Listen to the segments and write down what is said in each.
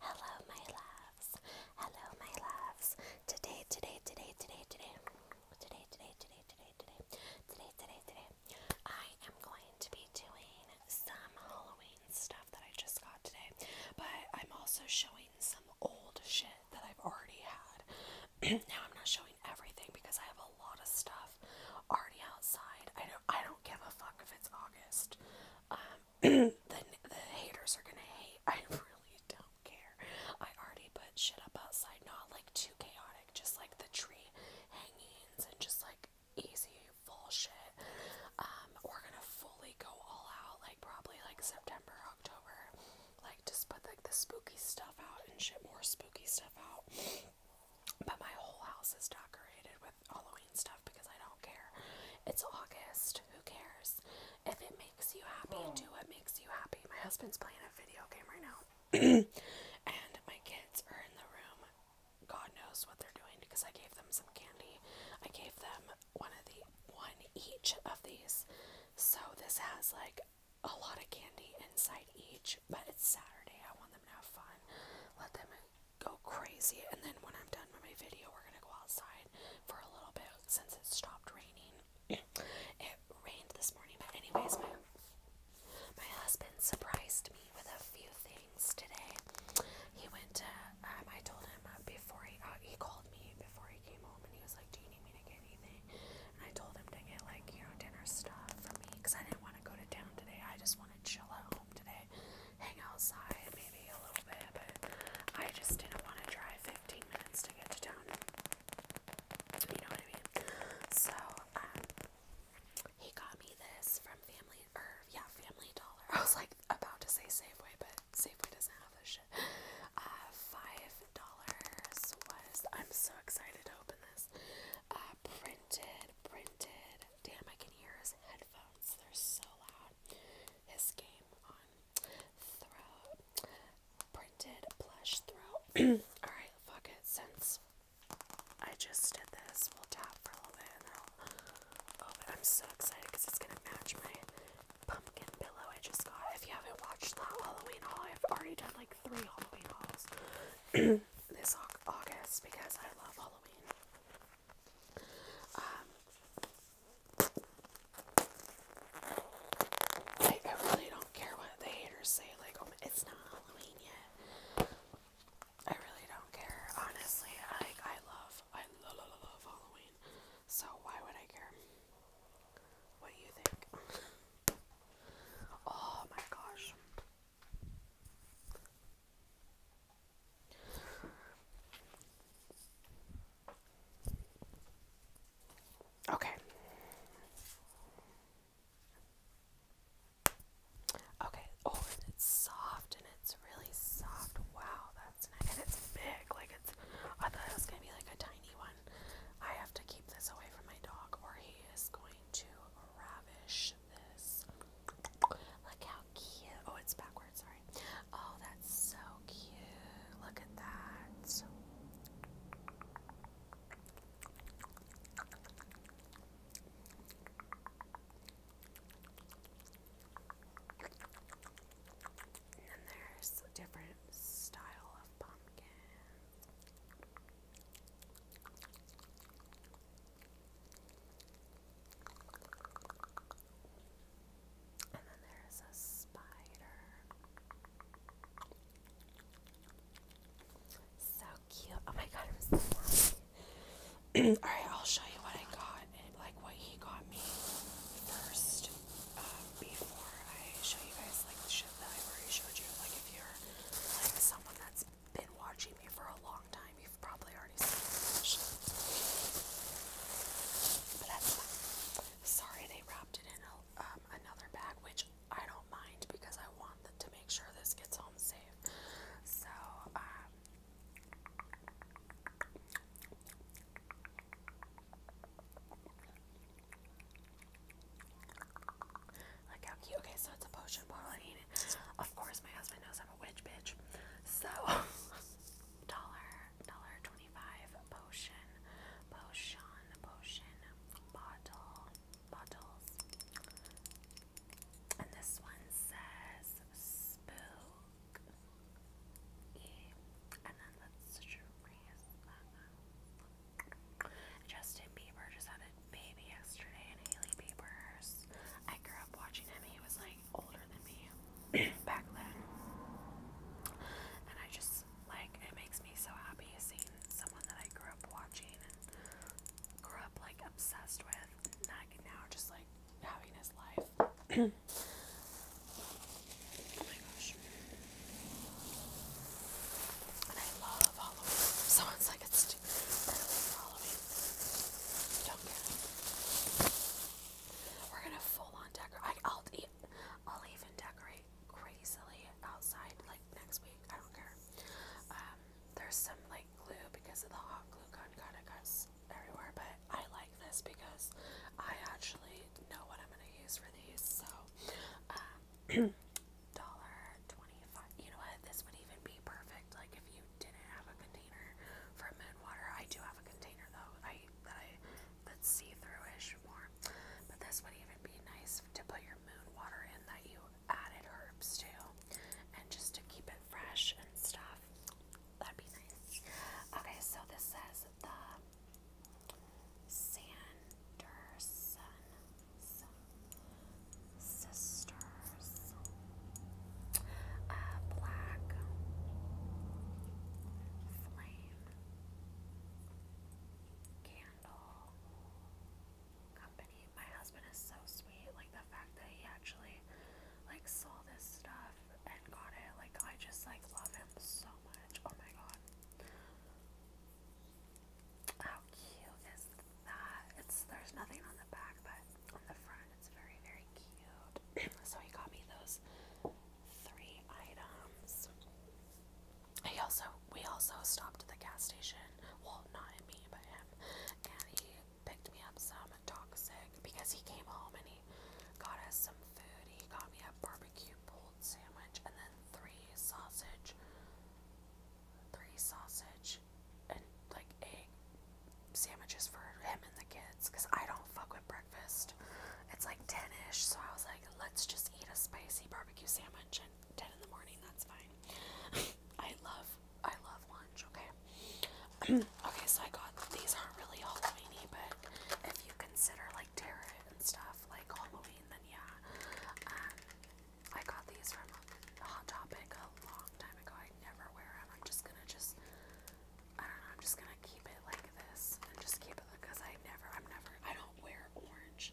Hello, my loves. Hello, my loves. Today, today, today, today, today, today, today, today, today, today, today, today, today, I am going to be doing some Halloween stuff that I just got today, but I'm also showing some old shit that I've already had. now I'm not showing everything because I have a lot of stuff already outside. I don't. I don't give a fuck if it's August. Um, the, the haters are gonna hate. I really don't care. I already put shit up outside, not like too chaotic, just like the tree hangings and just like easy full shit. Um, we're gonna fully go all out, like probably like September, October, like just put like the spooky stuff out and shit more spooky stuff out. But my whole house is decorated with Halloween stuff because I don't care. It's August. Who cares? If it makes you happy, hmm. do what makes you happy. My husband's playing a video game right now. and my kids are in the room. God knows what they're doing because I gave them some candy. I gave them one of the one each of these. So this has like a lot of candy inside each, but it's Saturday. I want them to have fun. Let them go crazy. And then when I'm done with my video, we're gonna go outside for a little bit since it stopped raining. it rained this morning, but anyways, my my husband surprised me with a few things today. He went to um, I told him before he uh, he called me before he came home, and he was like, "Do you need me to get anything?" And I told him to get like you know dinner stuff for me because I didn't want to go to town today. I just want to chill at home today hang outside maybe a little bit, but I just didn't want to drive 15 minutes to get to town. You know what I mean? So, um, he got me this from Family, yeah, Family Dollar. I was like about to say Safeway, but Safeway doesn't have this shit. Uh, five dollars was, I'm so excited to open this. Uh, printed, printed. Damn, I can hear his headphones. They're so loud his game on throw printed plush throw. Alright, fuck it. Since I just did this, we'll tap for a little bit and i I'm so excited because it's gonna match my pumpkin pillow I just got. If you haven't watched that Halloween haul, I've already done like three Halloween hauls this August because I love Halloween. Um, I, I really don't care what the haters say, like, oh, it's not Halloween yet. I really don't care, honestly. I, I love, I love, love, love Halloween. So why would I care? What do you think? oh my gosh. Okay. Okay. Oh, it's soft and it's really soft. Wow, that's nice. And it's big. Like it's I thought it was gonna be like a tiny one. I have to keep this away from my dog or he is going to ravish this. Look how cute. Oh, it's back Oh, that's so cute. Look at that. And there's a different style of pumpkin. And then there's a spider. So cute. Oh my god, I'm so Alright, I'll show you what I got and like what he got me first. Um, before I show you guys like the shit that I already showed you. Like if you're like someone that's been watching me for a long time, you've probably Sorry they wrapped it in um, another bag, which I don't mind because I want them to make sure this gets home safe. So, um, how cute. Okay, so it's a potion bottle. Of course, my husband knows I'm a witch bitch. So, dollar, dollar, potion, potion, potion, bottle, bottles. And this one says spook. And then let's Justin Bieber just had a baby yesterday, and Haley Bieber's. I grew up watching him. He was like older than me back then. And I just like it makes me so happy seeing someone that I grew up watching and grew up like obsessed with like now just like having his life. oh my gosh. And I love Halloween. Someone's like it's early Halloween. do we're gonna full on decorate. I'll, even decorate crazily outside like next week. I don't care. Um, there's some like glue because of the hot glue gun kind of cuts everywhere, but I like this because I actually know what I'm gonna use for these. So, um, dollar twenty-five. You know what? This would even be perfect. Like if you didn't have a container for moon water, I do have a container though. I that I that's see-through-ish more. But this would even be nice to put your moon water in that you added herbs to, and just to keep it fresh and stuff. That'd be nice. Okay, so this says the Sanderson sisters, uh, black candle company. My husband is so sweet. Like the fact that he actually like saw this stuff and got it. Like I just like love him so much. Oh my god. How cute is that? It's there's nothing on the back, but on the front it's very very cute. so he got me those three items. He also we also stopped at the gas station. Well, not me, but him. And he picked me up some toxic because he came home and he got us some food. He got me a barbecue pulled sandwich and then three sausage three sausage and like egg sandwiches for him and the kids because I don't fuck with bread. It's like 10 ish, so I was like, let's just eat a spicy barbecue sandwich And 10 in the morning. That's fine. I love, I love lunch. Okay. okay, so I got these aren't really Halloweeny, but if you consider like tarot and stuff like Halloween, then yeah. Um, I got these from Hot Topic a long time ago. I never wear them. I'm just gonna just I don't know, I'm just gonna keep it like this and just keep it because I never, I'm never, I don't wear orange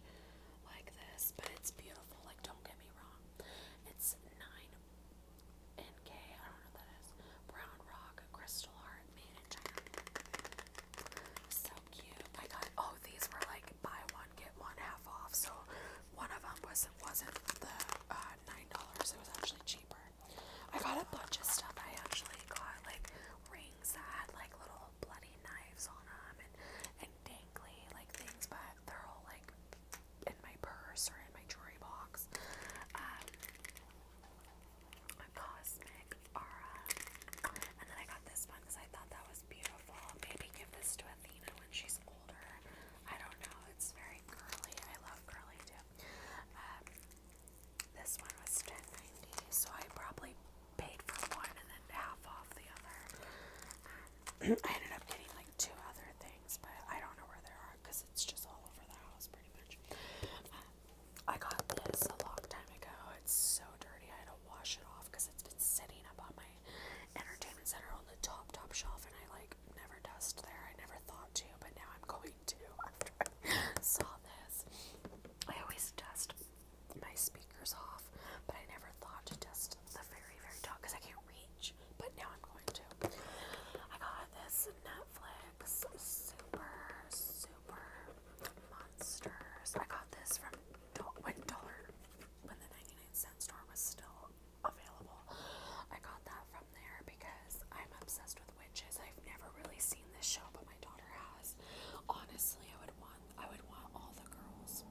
like this, but it's beautiful. Like, don't get me wrong, it's 9NK, I don't know that is, Brown Rock Crystal Heart made in China. So cute. I got, oh, these were like buy one, get one half off. So one of them was, not wasn't the uh, $9, it was actually cheaper. I got a bunch of stuff. I actually got like rings that had like little bloody knives on them and, and dangly like things, but they're all like in my purse or in my jewelry box. Um, a cosmic aura. And then I got this one because I thought that was beautiful. Maybe give this to Athena when she's older. I don't know. It's very curly. I love curly too. Um, this one was ten ninety, so I probably paid for one and then half off the other. Um, I ended up getting like two other things, but I don't know where they are because it's just all over the house pretty much. Um, I got this a long time ago. It's so dirty. I had to wash it off because it's been sitting up on my entertainment center on the top top shelf, and I like never dusted there. I never thought to, but now I'm going to after I saw this. I always test my speakers off, but I never thought to test the very, very top because I can't reach. But now I'm going to. I got this Netflix Super Super Monsters. I got this from when dollar when the 99 cent store was still available. I got that from there because I'm obsessed with witches. I've never really seen this show, but my daughter has. Honestly, I would want I would want all the girls.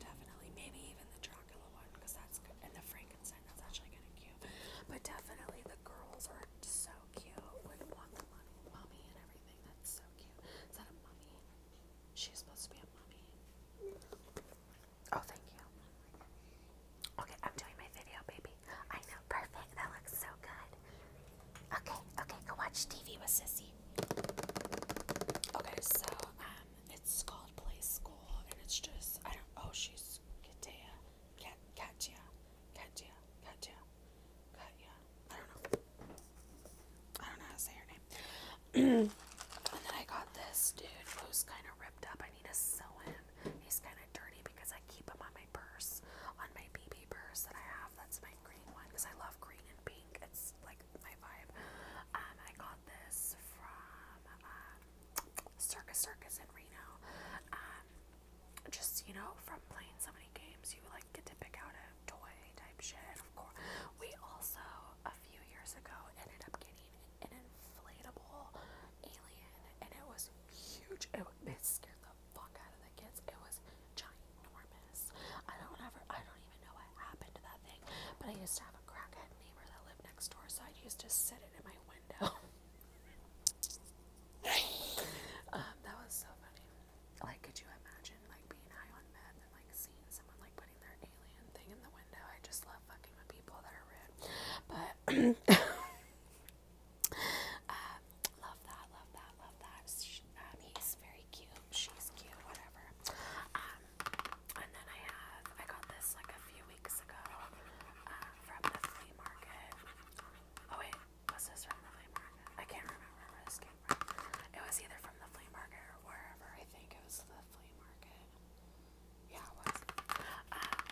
Definitely, maybe even the Dracula one because that's and the Frankenstein that's actually kind of cute. But definitely, the girls are so cute. Would want the money, mummy and everything. That's so cute. Is that a mummy? She's supposed to be a mummy. Oh, thank you. Okay, I'm doing my video, baby. I know perfect. That looks so good. Okay, okay, go watch TV with Sissy. Okay, so um, it's called Play School, and it's just I don't. Oh, she's Katia, Kat, Katya, Katya, Katya, Katya. I don't know. I don't know how to say her name. and then I got this dude who's kind of ripped up. I need to sew him. He's kind of dirty because I keep them on my purse, on my BB purse that I have. That's my green one because I love green and pink. It's like my vibe. Um, I got this from um, Circus Circus in Reno. Um, just you know, from playing so many games, you like get to pick out a toy type shit. Of course, we also a few years ago ended up getting an inflatable alien, and it was huge. It, it scared the fuck out of the kids. It was ginormous. I don't ever, I don't even know what happened to that thing, but I used to have a crackhead neighbor that lived next door, so I used to sit it in my window. Um, that was so funny. Like, could you imagine like being high on meth and like seeing someone like putting their alien thing in the window? I just love fucking with people that are rude, but. Uh, love that, love that, love that. Um, he's very cute. She's cute, whatever. Um, and then I have, I got this like a few weeks ago uh, from the flea market. Oh wait, was this from the flea market? I can't remember where this came from. It was either from the flea market or wherever. I think it was the flea market. Yeah, it was. Um,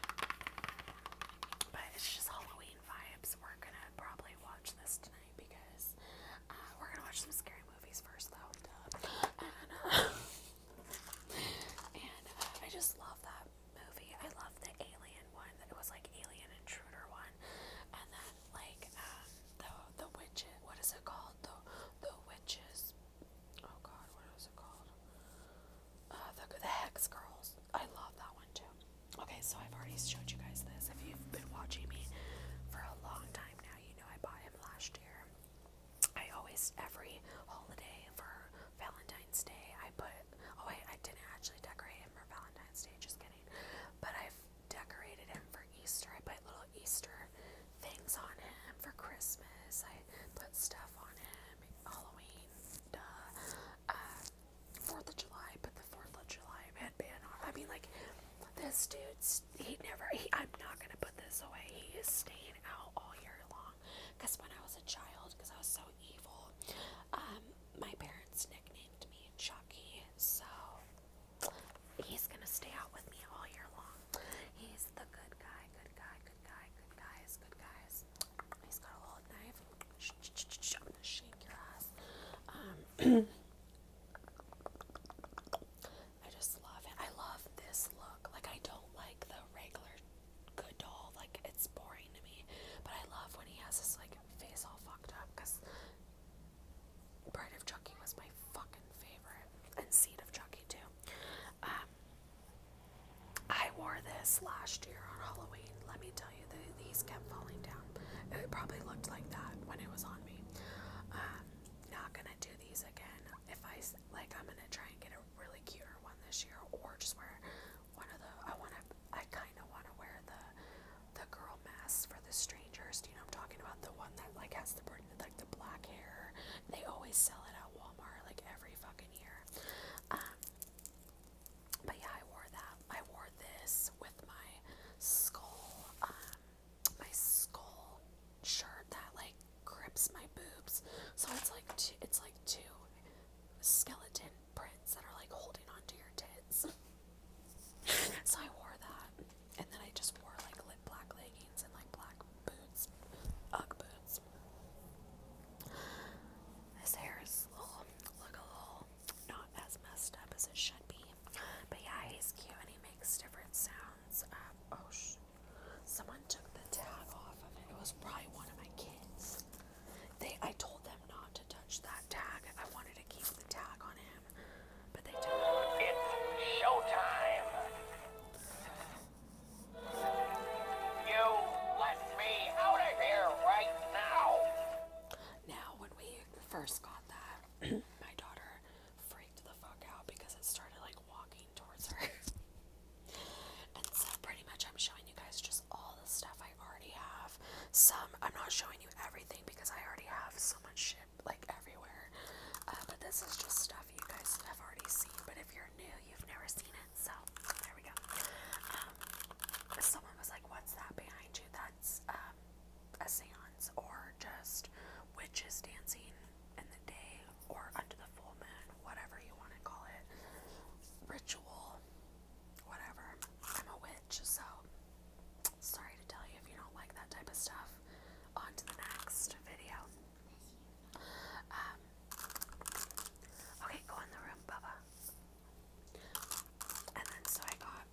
but it's just Halloween vibes. We're gonna probably watch this tonight because uh, we're gonna watch some scary movies first, though. And, uh, uh, I just love that movie. I love the Alien one. That it was like Alien Intruder one, and then like the the witches. What is it called? The the witches. Oh God, what is it called? the the Hex Girls. I love that one too. Okay, so I've already showed you guys this. If you've been watching me for a long time now, you know I bought him last year. I always, every holiday for Valentine's Day, I put, oh wait, I didn't actually decorate him for Valentine's Day, just kidding. But i decorated him for Easter. I put little Easter things on him for Christmas. I put stuff on him, Halloween, uh, Fourth of July, but the Fourth of July headband on. I mean, like this dude's he never. He, I'm not gonna put this away. He is staying out all year long. Cause when I was a child, cause I was so evil, um, my parents nicknamed me Chucky. So he's gonna stay out with me all year long. He's the good guy, good guy, good guy, good guys, good guys. He's got a little knife. I'm gonna shake your ass. Um, I just love it. I love this look. Like I don't like the regular good doll. Like it's boring to me. But I love when he has his like face all fucked up. Cause Bride of Chucky was my fucking favorite, and Seed of Chucky too. Um, I wore this last year on Halloween. Let me tell you these kept falling down. It probably looked like that when it was on me. Um, not gonna do these again. If I like, I'm gonna try and get a really cuter one this year, or just wear one of the. I wanna. I kind of wanna wear the the girl masks for the strangers. Do you know I'm talking about? The one that like has the like the black hair. They always sell it at Walmart like every fucking year. Um, but yeah, I wore that. I wore this with my skull, um, my skull shirt that like grips my boobs. So it's like two, it's like two skeleton prints that are like holding onto your tits. so I wore that, and then I just wore like lit black leggings and like black boots, UGG boots. This hair is look a little not as messed up as it should be. But yeah, he's cute and he makes different sounds. Um, oh, sh someone took the tag off of it. It was probably one of my kids. They, I told them not to touch that tag. I wanted to keep the tag on him, but they did It's showtime. You let me out of here right now. Now, when we first got that, my daughter freaked the fuck out because it started like walking towards her. and so, pretty much, I'm showing you guys just all the stuff I already have. Some, I'm not showing you everything because I already have so much shit like everywhere. Uh, but this is just stuff you guys have already seen. But if you're new, you've never seen it. So, there we go. Um, someone was like, What's that behind you? That um, a seance or just witches dancing in the day or under the full moon, whatever you want to call it, ritual, whatever. I'm a witch, so sorry to tell you if you don't like that type of stuff. On to the next video. Um, okay, go in the room, Bubba. And then so I got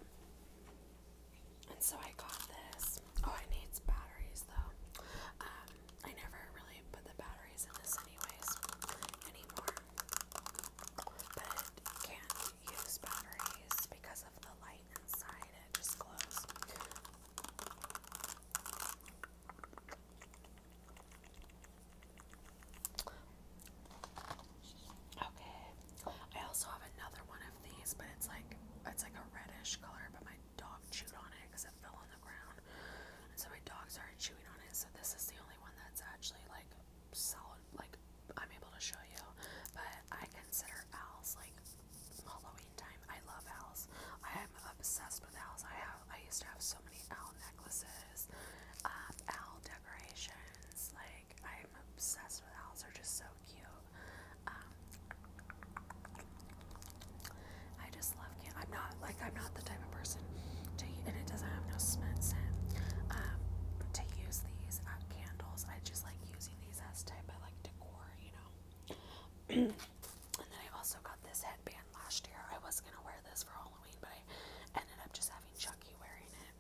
and so I got this. Oh, it needs batteries though. Um, I never really put the batteries in this anyways anymore. But can't use batteries because of the light inside. just glows. Okay. I also have another one of these, but it's like it's like a reddish color, but my dog chewed on it because it fell on the ground. so my dog started chewing on it. So this is the only one that's actually like solid like I'm able to show you. But I consider owls like Halloween time. I love owls. I am obsessed with owls. I have I used to have so many owl necklaces, um, owl decorations, like I'm obsessed with owls. They're just so cute. Um, I just love I'm not like I'm not the type of person to and it doesn't have no scent scent. Um, to use these uh, candles. I just like using these as type of like decor, you know. and then I also got this headband last year. I was gonna wear this for Halloween, but I ended up just having Chucky wearing it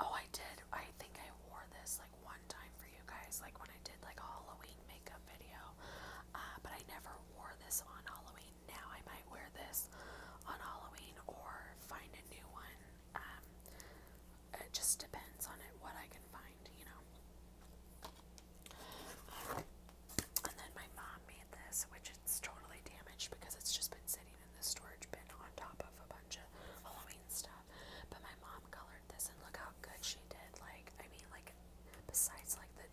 oh, I did. I think I wore this like one time for you guys, like when I did like a Halloween makeup video. Uh, but I never wore this on Halloween. Now I might wear this on Halloween or find a new one. Um, it just depends on it what I can find, you know. and then my mom made this, which it's totally damaged because it's just been sitting in the storage bin on top of a bunch of Halloween stuff. But my mom colored this, and look how good she did. Like, I mean, like, besides like the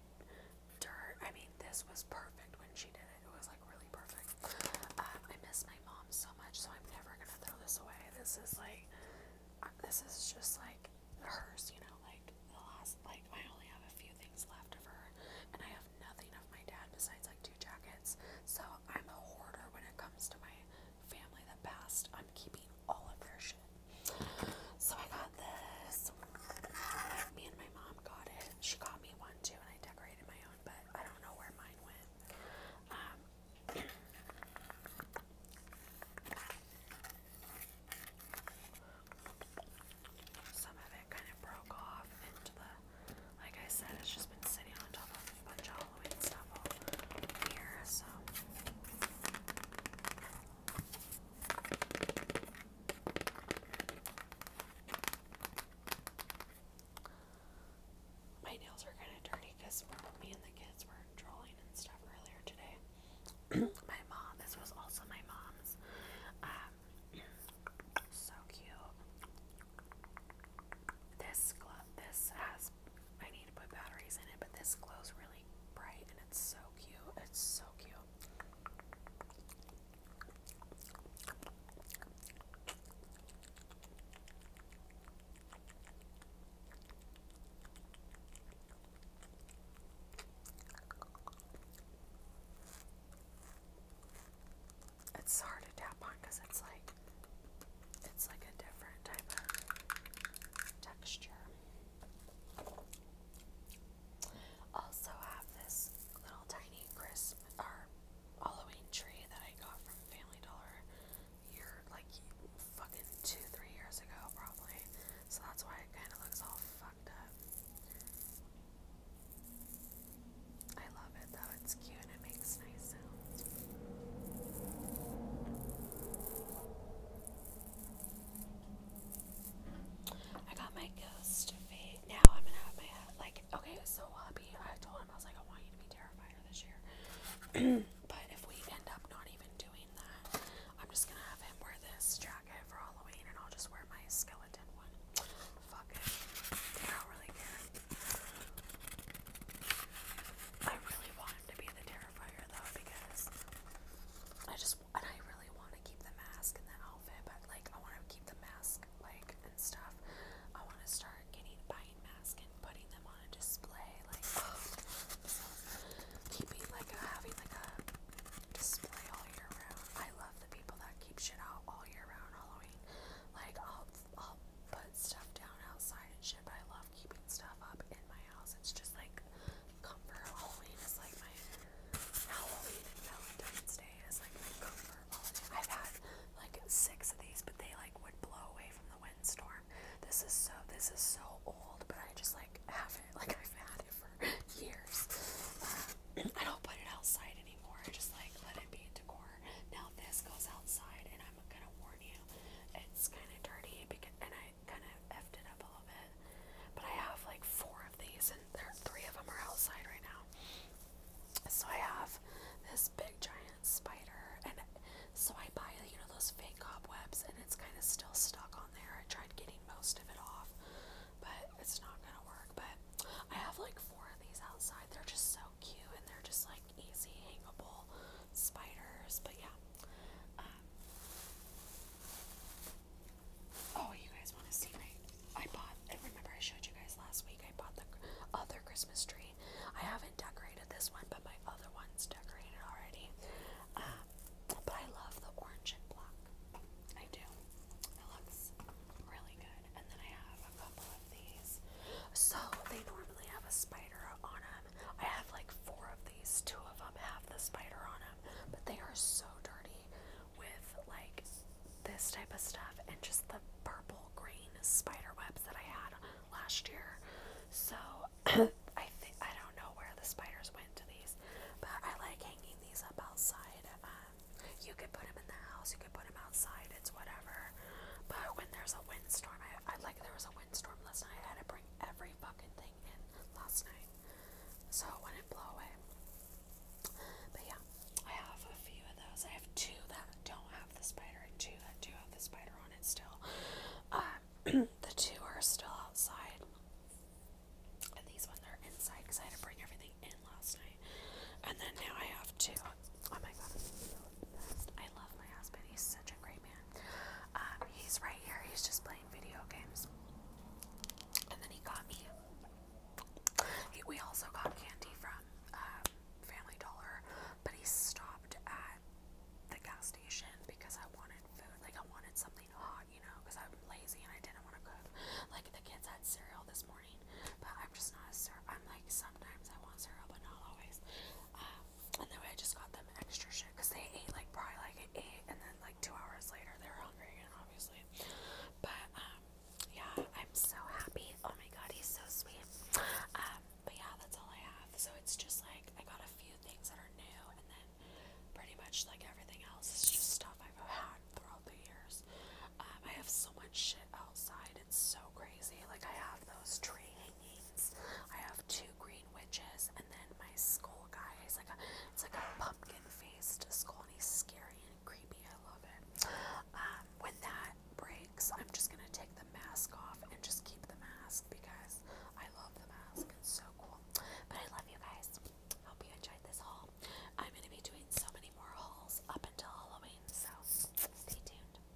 dirt, I mean, this was perfect when she did it. It was like really perfect. Um, I miss my mom so much, so I'm never gonna throw this away. This is like, uh, this is just like hers, you know. Like the last, like I only have a few things left of her, and I have nothing of my dad besides like two jackets. So I'm a hoarder when it comes to my family The best I'm keeping all of their shit. So I got this. Me and my mom got it. She got me one too, and I decorated my own, but I don't know where mine went. Um, some of it kind of broke off into the like I said, it's just been sitting on top of a bunch of Halloween stuff all so. My nails are kind of dirty because me and the kids were drawing and stuff earlier today. my mom, this was also my mom's. Um, so cute. This this has I need to put batteries in it, but this glows really bright and it's so cute. It's so cute it's hard to tap on because it's like it's like a different type of texture. Also have this little tiny Christmas or Halloween tree that I got from Family Dollar year like fucking two, three years ago probably. So that's why it kinda looks all fucked up. I love it though, it's cute and it makes nice sounds. I got my ghost fade. Now I'm gonna have my like okay, so Wabi, I told him I was like I want you to be terrifier this year. but if we end up not even doing that, I'm just gonna have him wear this jacket for Halloween and I'll just wear my skeleton one. Fuck it. I don't really care. I really want him to be the Terrifier though because I just and I really want to keep the mask and the outfit, but like I want to keep the mask like and stuff. I want to start getting buying masks and putting them on a display, like keeping like a, having like a display all year round. I love the people that keep shit out all year round Halloween. Like I'll I'll. Put stuff down outside and shit, but I love keeping stuff up in my house. It's just like comfort. Halloween is like my Halloween and Valentine's Day is like my comfort I've had like six of these, but they like would blow away from the windstorm. This is so this is so old, but I just like have it. Like I've had it for years. Um, I don't put it outside anymore. I just like let it be decor door. Now this goes outside, and I'm gonna warn you, it's kind of dirty because, and I kind of effed it up a little bit. But I have like four of these, and there three of them are outside right now. So I have this big giant spider, and so I buy you know those fake cobwebs, and it's kind of still stuck on there. I tried getting most of it off, but it's not gonna work. But I have like four of these outside. They're just so cute, and they're just like easy hangable spiders, but yeah. Um, oh, you guys want to see I bought. I remember I showed you guys last week. I bought the other Christmas tree. I haven't decorated this one, but my other one's decorated already. Um, but I love the orange and black. I do. It looks really good. And then I have a couple of these. So they normally have a spider on them. I have like four of these. Two of them have the spider on them, but they are so dirty with like this type of stuff and just the purple green spider webs that I had last year. So I think I don't know where the spiders went to these, but I like hanging these up outside. Um, you could put them in the house. You could put them outside it's whatever. But when there's a windstorm, I, I like there was a windstorm last night. I had to bring every fucking thing in last night, so it wouldn't blow away. But yeah, I have a few of those. I have two that don't have the spider and two that do have the spider on it still. Um, the two are still outside, and these ones are inside because I had to bring everything in last night. And then now I have two. Oh my god, I love my husband. He's such a great man. Um, he's right here. He's just playing video games. And then he got me. we also got candy from um, Family Dollar, but he stopped at the gas station because I wanted food. Like I wanted something hot, you know, because I'm lazy and I didn't want to cook. Like the kids had cereal this morning, but I'm just not a cereal. I'm like sometimes I want cereal, but not always. Um, and then I just got them extra shit because they ate like probably like at eight, and then like two hours later they were hungry again, obviously. But um, yeah, I'm so happy. Oh my god, he's so sweet. Um, but yeah, that's all I have. So it's just like I got a few things that are new, and then pretty much like everything else is just stuff I've had throughout the years. Um, I have so much shit outside. It's so crazy. Like I have those tree I have two green witches, and then my skull guy. is like a, it's like a pumpkin-faced skull, and he's scary and creepy. I love it. Um, when that breaks, I'm just gonna take the mask off and just keep the mask because I love the mask. It's so cool. But I love you guys. Hope you enjoyed this haul. I'm gonna be doing so many more hauls up until Halloween, so stay tuned.